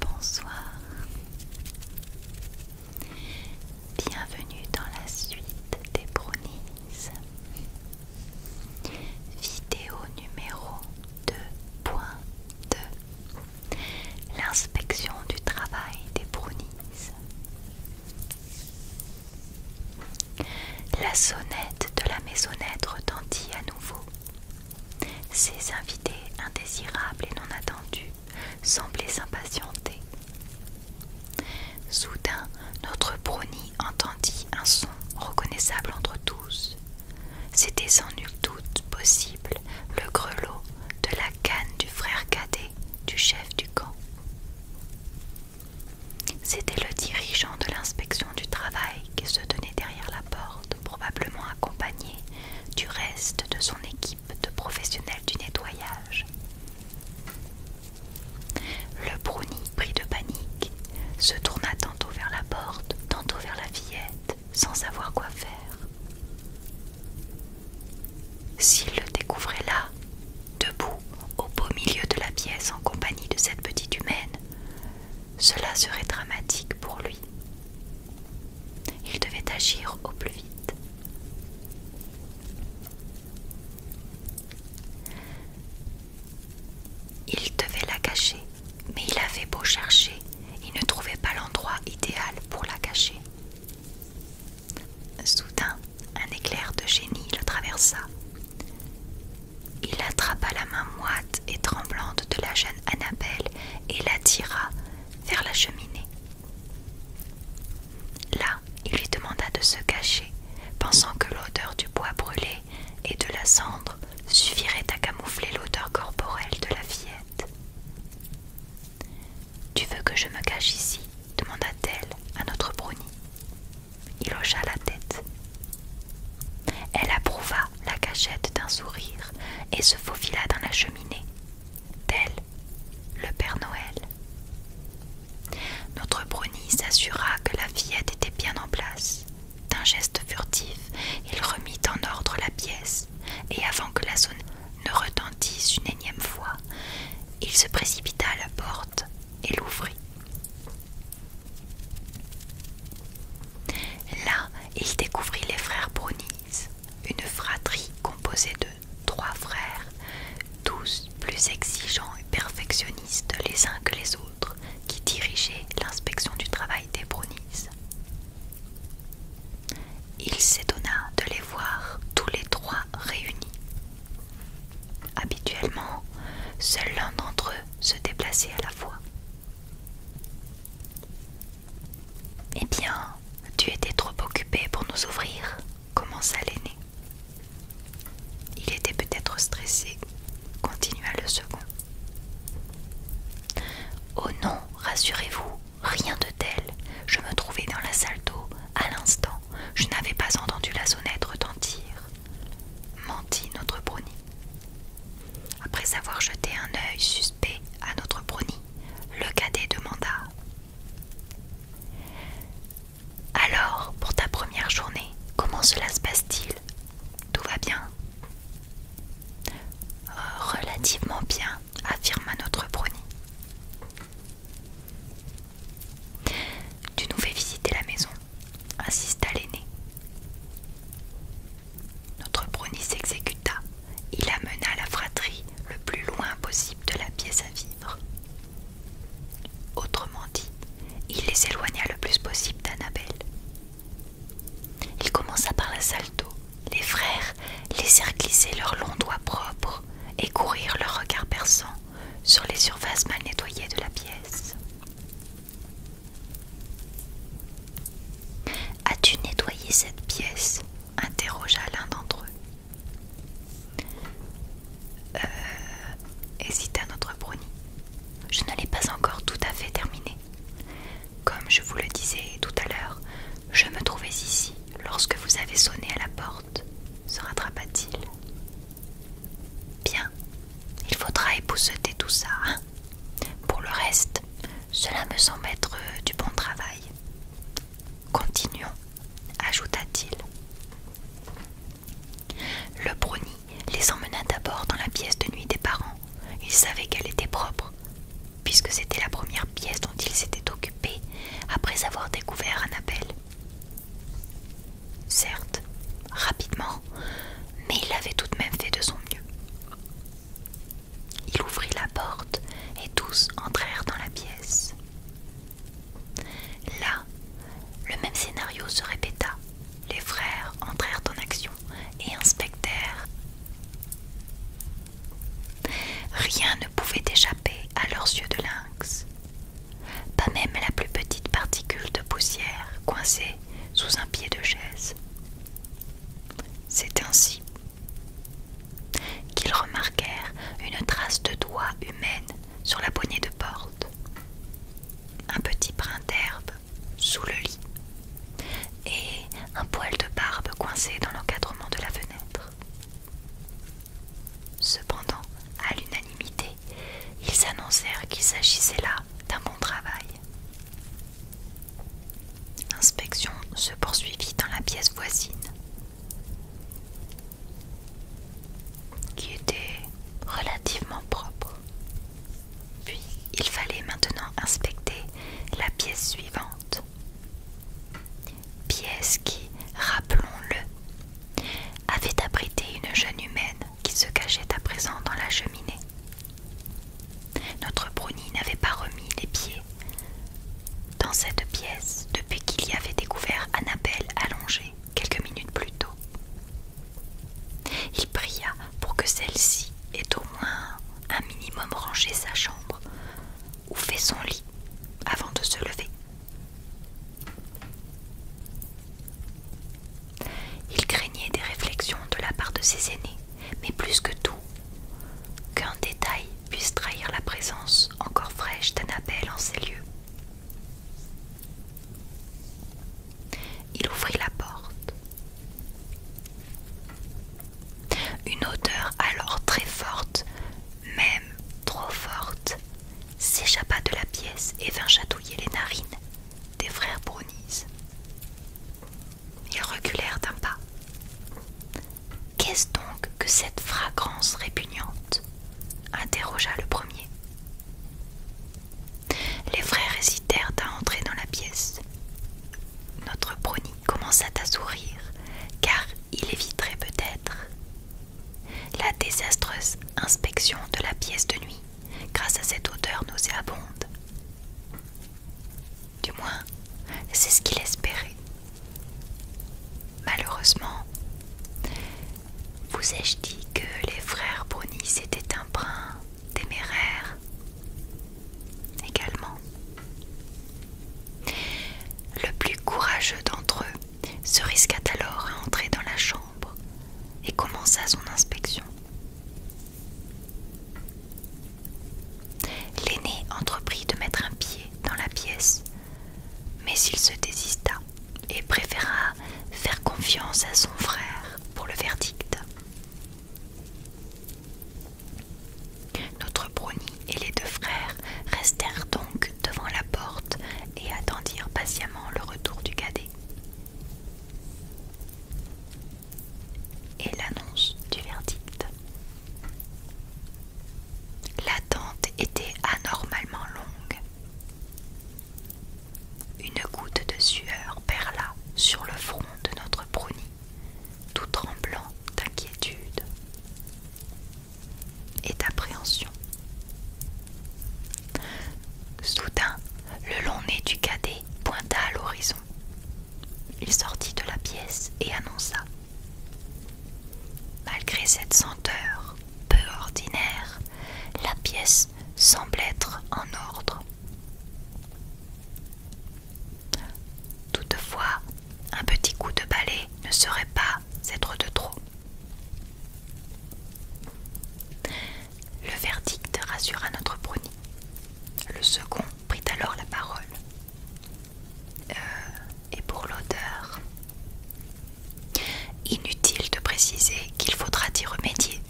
Bonsoir, bienvenue dans la suite des brownies. Vidéo numéro 2.2 L'inspection du travail des brownies. La sonnette de la maisonnette retentit à nouveau ces invités indésirables et non attendus semblaient s'impatienter. Soudain, notre brownie entendit un son reconnaissable entre tous. C'était sans nul doute possible le grelot de la canne du frère cadet du chef du camp. C'était le dirigeant de l'inspection du travail qui se tenait derrière la porte probablement accompagné du reste de son équipe de professionnels du nettoyage. Le brownie, pris de panique, se tourna tantôt vers la porte, tantôt vers la fillette, sans savoir quoi faire. S'il le découvrait là, debout, au beau milieu de la pièce en compagnie de cette petite humaine, cela serait dramatique pour lui. Il devait agir au plus vite. Il devait la cacher, mais il avait beau chercher, il ne trouvait pas l'endroit idéal pour la cacher. Soudain, un éclair de génie le traversa. Il attrapa la main moite et tremblante de la jeune Annabelle et la tira vers la cheminée. Là, il lui demanda de se cacher, pensant que l'odeur du bois brûlé et de la cendre suffirait à camoufler l'odeur corporelle de la fillette. Tu veux que je me cache ici demanda-t-elle à notre Bruni il hocha la tête. Elle approuva la cachette d'un sourire et se faufila dans la cheminée, tel le Père Noël. Notre bruni s'assura que la fillette était bien en place. D'un geste furtif, il remit en ordre la pièce, et avant que la sonne ne retentisse une énième fois, il se précipita à la porte et l'ouvrit. Là, il découvrit les frères bronis une fratrie composée de trois frères, tous plus exigeants et perfectionnistes les uns que les autres, qui dirigeaient l'inspection du travail des bronis Il s'étonna de les voir tous les trois réunis. Habituellement, seul l'un d'entre eux se déplaçait à la fois. Eh bien, tu étais trop occupé pour nous ouvrir, commença l'aîné. Il était peut-être stressé, continua le second. Oh non, rassurez-vous, rien de tel. Je me trouvais dans la salle d'eau à l'instant. Je n'avais pas entendu la sonnette retentir. « Menti, notre brownie. Après avoir jeté un œil suspect à notre brownie, le cadet demanda Alors, pour ta première journée, comment cela se passe-t-il Tout va bien Relativement bien, affirma notre brownie. Tu nous fais visiter la maison insista l'aîné. Notre brownie s'exécuta. Il amena la fratrie le plus loin possible de la pièce à vivre. Autrement dit, il les éloigna le plus possible d'Annabelle. Il commença par la salle d'eau. Les frères laissèrent glisser leurs longs doigts propres et courir leurs regards perçants sur les surfaces mal nettoyées de la pièce. As-tu nettoyé cette pièce interrogea l'un d'entre eux. Euh, hésita notre brownie. Je ne pas encore tout à fait terminée. Comme je vous le disais tout à l'heure, je me trouvais ici lorsque vous avez sonné à la porte, se rattrapa-t-il. Bien, il faudra épousseter tout ça. Hein. Pour le reste, cela me semble être euh, du bon travail. Continuons, ajouta-t-il. Le brownie les emmena d'abord dans la pièce de nuit des parents. Il savait qu'elle était propre, puisque c'était la première pièce dont ils s'étaient occupés après avoir découvert Annabelle certes, rapidement, mais il avait tout de même fait de son mieux. Il ouvrit la porte et tous entrèrent dans la pièce. Là, le même scénario se répéta. Les frères entrèrent en action et inspectèrent. Rien ne pouvait échapper à leurs yeux de lynx pas même la plus petite particule de poussière coincée sous un pied de chaise. C'est ainsi qu'ils remarquèrent une trace de doigt humaine sur la poignée de porte, un petit brin d'herbe sous le lit et un poil de barbe coincé dans l'encadrement de la fenêtre. Cependant, à l'unanimité, ils annoncèrent qu'il s'agissait là d'un bon travail. L'inspection se poursuivit dans la pièce voisine, qui était relativement propre. Puis, il fallait maintenant inspecter la pièce suivante. Pièce qui, rappelons-le, avait abrité une jeune humaine qui se cachait à présent dans la cheminée. Notre Bruni n'avait pas remis les pieds dans cette pièce depuis qu'il y avait découvert Annabelle allongée quelques minutes plus tôt. Il pria pour que celle-ci ait au moins un minimum rangé sa chambre ou fait son lit avant de se lever. Il craignait des réflexions de la part de ses aînés, mais plus que tout, qu'un détail puisse trahir la présence encore fraîche d'Annabelle en ces lieux. Il ouvrit la porte. Une odeur alors très forte même trop forte, s'échappa de la pièce et vint chatouiller les narines des frères Brownies. Ils reculèrent d'un pas. Qu'est-ce donc que cette fragrance répugnante interrogea le premier. Les frères hésitèrent à entrer dans la pièce. Notre brownie commença à sourire, car il éviterait peut-être la désastreuse inspection de la pièce de nuit, grâce à cette odeur nauséabonde. Du moins, c'est ce qu'il espérait. Malheureusement, vous ai-je dit que les frères Brunis étaient un brin téméraire également. Le plus courageux d'entre eux se risqua alors à entrer dans la chambre et commença son inspection. L'aîné entreprit de mettre un pied dans la pièce, mais il se désista et préféra faire confiance à son frère pour le verdict. Notre brownie et les deux frères restèrent donc devant la porte et attendirent patiemment le retour du cadet. Et l'annonce du verdict. L'attente était anormalement longue. Une goutte de sueur perla sur le front de notre bruni, tout tremblant d'inquiétude et d'appréhension. Soudain, le long nez du cadet pointa à l'horizon. Il sortit de la pièce et annonça. Malgré cette senteur peu ordinaire, la pièce semble être en ordre. Toutefois, un petit coup de balai ne serait pas être de trop. Le verdict rassura notre bruni. Le second prit alors la parole. Euh, et pour l'odeur Inutile de préciser qu'il faudra y remédier,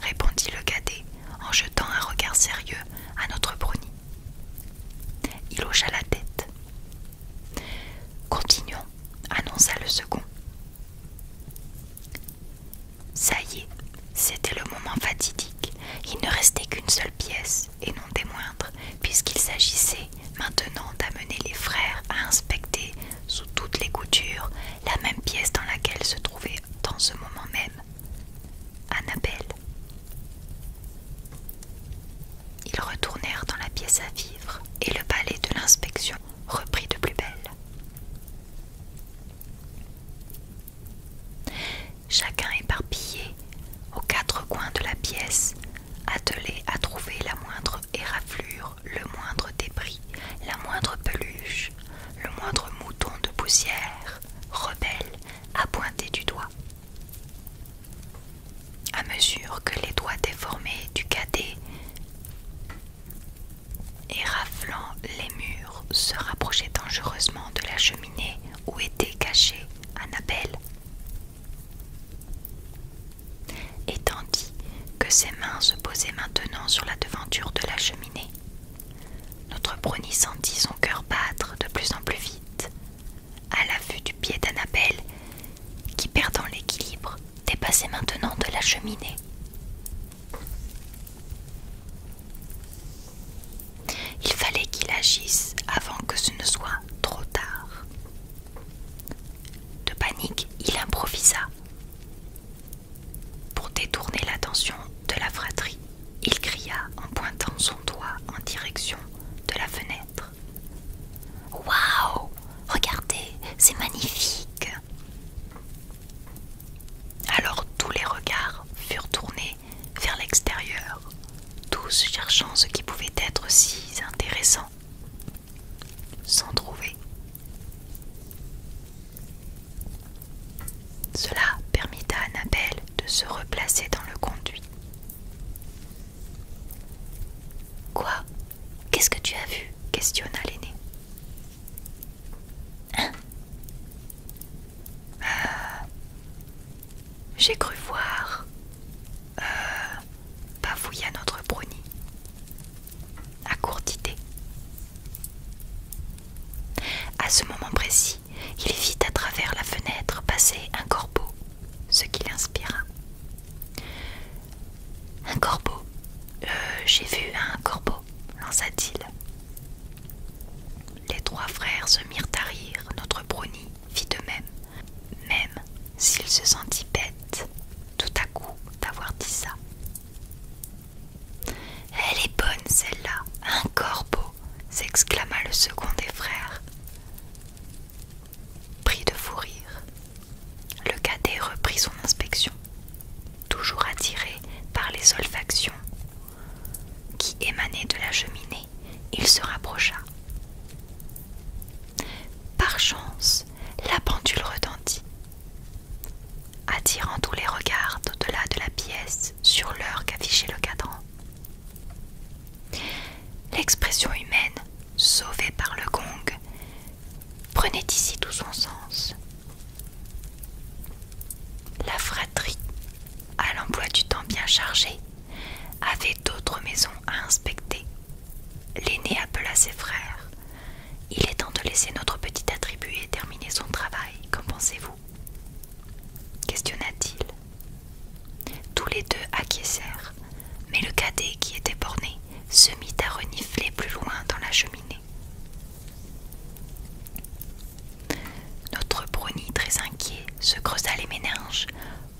répondit le cadet en jetant un regard sérieux à notre bruni. Il hocha la tête. Continuons, annonça le second. Ça y est, c'était le moment fatidique. Il ne restait qu'une seule pièce, et non des moindres, puisqu'il s'agissait maintenant d'amener les frères à inspecter, sous toutes les coutures, la même pièce dans laquelle se trouvait, dans ce moment même, Annabelle. Ils retournèrent dans la pièce à vivre et le palais de l'inspection reprit de plus belle. Chacun éparpillé aux quatre coins de la pièce, attelé à trouver la moindre éraflure, le moindre débris, la moindre peluche, le moindre mouton de poussière, rebelle, à pointer du doigt à mesure que les doigts déformés du cadet et raflant les murs se rapprochaient dangereusement de la cheminée où était cachée Annabelle. Et tandis que ses mains se posaient maintenant sur la devanture de la cheminée, notre brownie sentit son cœur battre de plus en plus vite à la vue du pied d'Annabelle, qui, perdant l'équilibre, dépassait maintenant de la cheminée. Il fallait qu'il agisse avant que ce ne soit trop tard. De panique, il improvisa. Pour détourner l'attention de la fratrie, il cria en pointant son doigt en direction de la fenêtre. Waouh Regardez, c'est magnifique Alors tous les regards furent tournés vers l'extérieur, tous cherchant ce qui pouvait être si intéressant, sans trouver. Cela permit à Annabelle de se replacer dans le conduit Quoi Qu'est-ce que tu as vu questionna l'aîné. Hein euh, j'ai cru voir. Euh, à notre bruni. À court À ce moment précis, il vit à travers la fenêtre passer un corbeau, ce qui l'inspira. Un corbeau, euh, j'ai vu un corbeau, lança-t-il. Les trois frères se mirent à rire, notre brownie fit de même, même s'il se sentit bête tout à coup d'avoir dit ça. Elle est bonne celle-là, un corbeau, s'exclama le second des frères. Pris de fou rire, le cadet reprit son inspection, toujours attiré par les olfactions qui émanaient de la cheminée. Il se rapprocha. Par chance, la pendule retentit, attirant tous les regards au-delà de la pièce sur l'heure qu'affichait le cadran. L'expression humaine, sauvée par le gong, prenait ici tout son sens. La fratrie, à l'emploi du temps bien chargé, avait d'autres maisons à inspecter. L'aîné appela ses frères. Il est temps de laisser notre petit attribut et terminer son travail, qu'en pensez-vous Questionna-t-il. Tous les deux acquiescèrent, mais le cadet qui était borné se mit à renifler plus loin dans la cheminée. Notre brownie, très inquiet, se creusa les méninges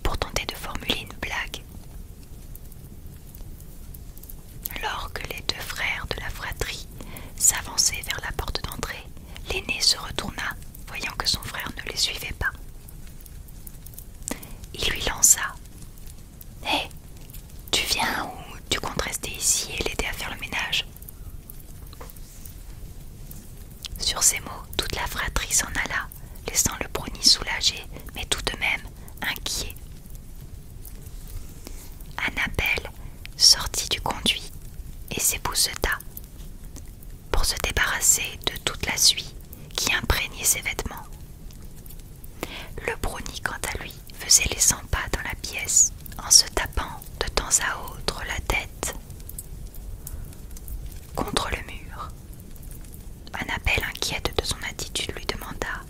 pour tenter de formuler une blague. Lorsque les deux frères de la fratrie s'avançaient vers la porte d'entrée, l'aîné se retourna, voyant que son frère ne les suivait pas. Il lui lança Hé, tu viens ou tu comptes rester ici et l'aider à faire le ménage Sur ces mots, toute la fratrie s'en alla, laissant le brownie soulagé, mais tout de même inquiet. Annabelle sortit du conduit et s'épousseta pour se débarrasser de toute la suie qui imprégnait ses vêtements. Le brownie, quant à lui, faisait les cent pas dans la pièce en se tapant de temps à autre la tête contre le mur. Un appel inquiète de son attitude lui demanda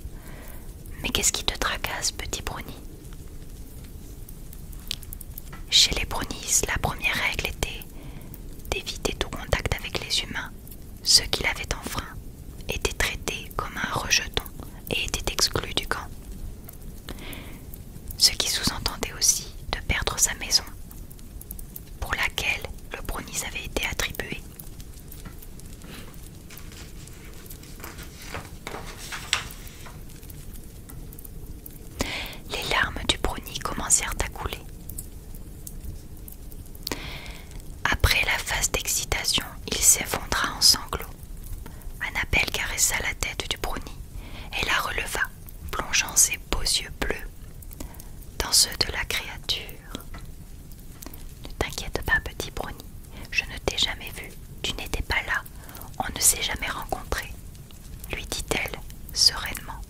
Mais qu'est-ce qui te tracasse, petit brownie chez les Bronis, la première règle était d'éviter tout contact avec les humains. Ceux qui l'avaient enfreint étaient traités comme un rejeton et étaient exclus du camp. Ce qui sous-entendait aussi de perdre sa maison, pour laquelle le Bronis avait été attribué. Les larmes du brownie commencèrent à couler. Après la phase d'excitation, il s'effondra en sanglots. Annabelle caressa la tête du brownie et la releva, plongeant ses beaux yeux bleus dans ceux de la créature. Ne t'inquiète pas, petit brownie, je ne t'ai jamais vu, tu n'étais pas là, on ne s'est jamais rencontrés, lui dit-elle sereinement.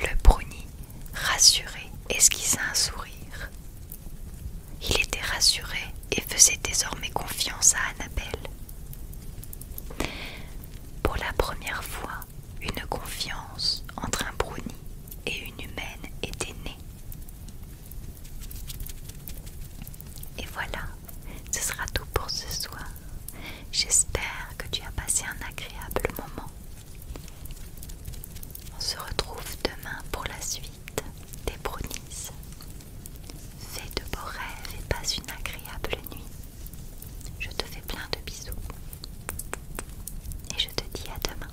Le bruni, rassuré, esquissa un sourire. Il était rassuré et faisait désormais confiance à Annabelle. Pour la première fois, une confiance entre un bruni et une humaine était née. Et voilà, ce sera tout pour ce soir. J'espère que tu as passé un agréable moment. On se retrouve demain pour la suite des brownies. Fais de beaux rêves et passe une agréable nuit. Je te fais plein de bisous. Et je te dis à demain.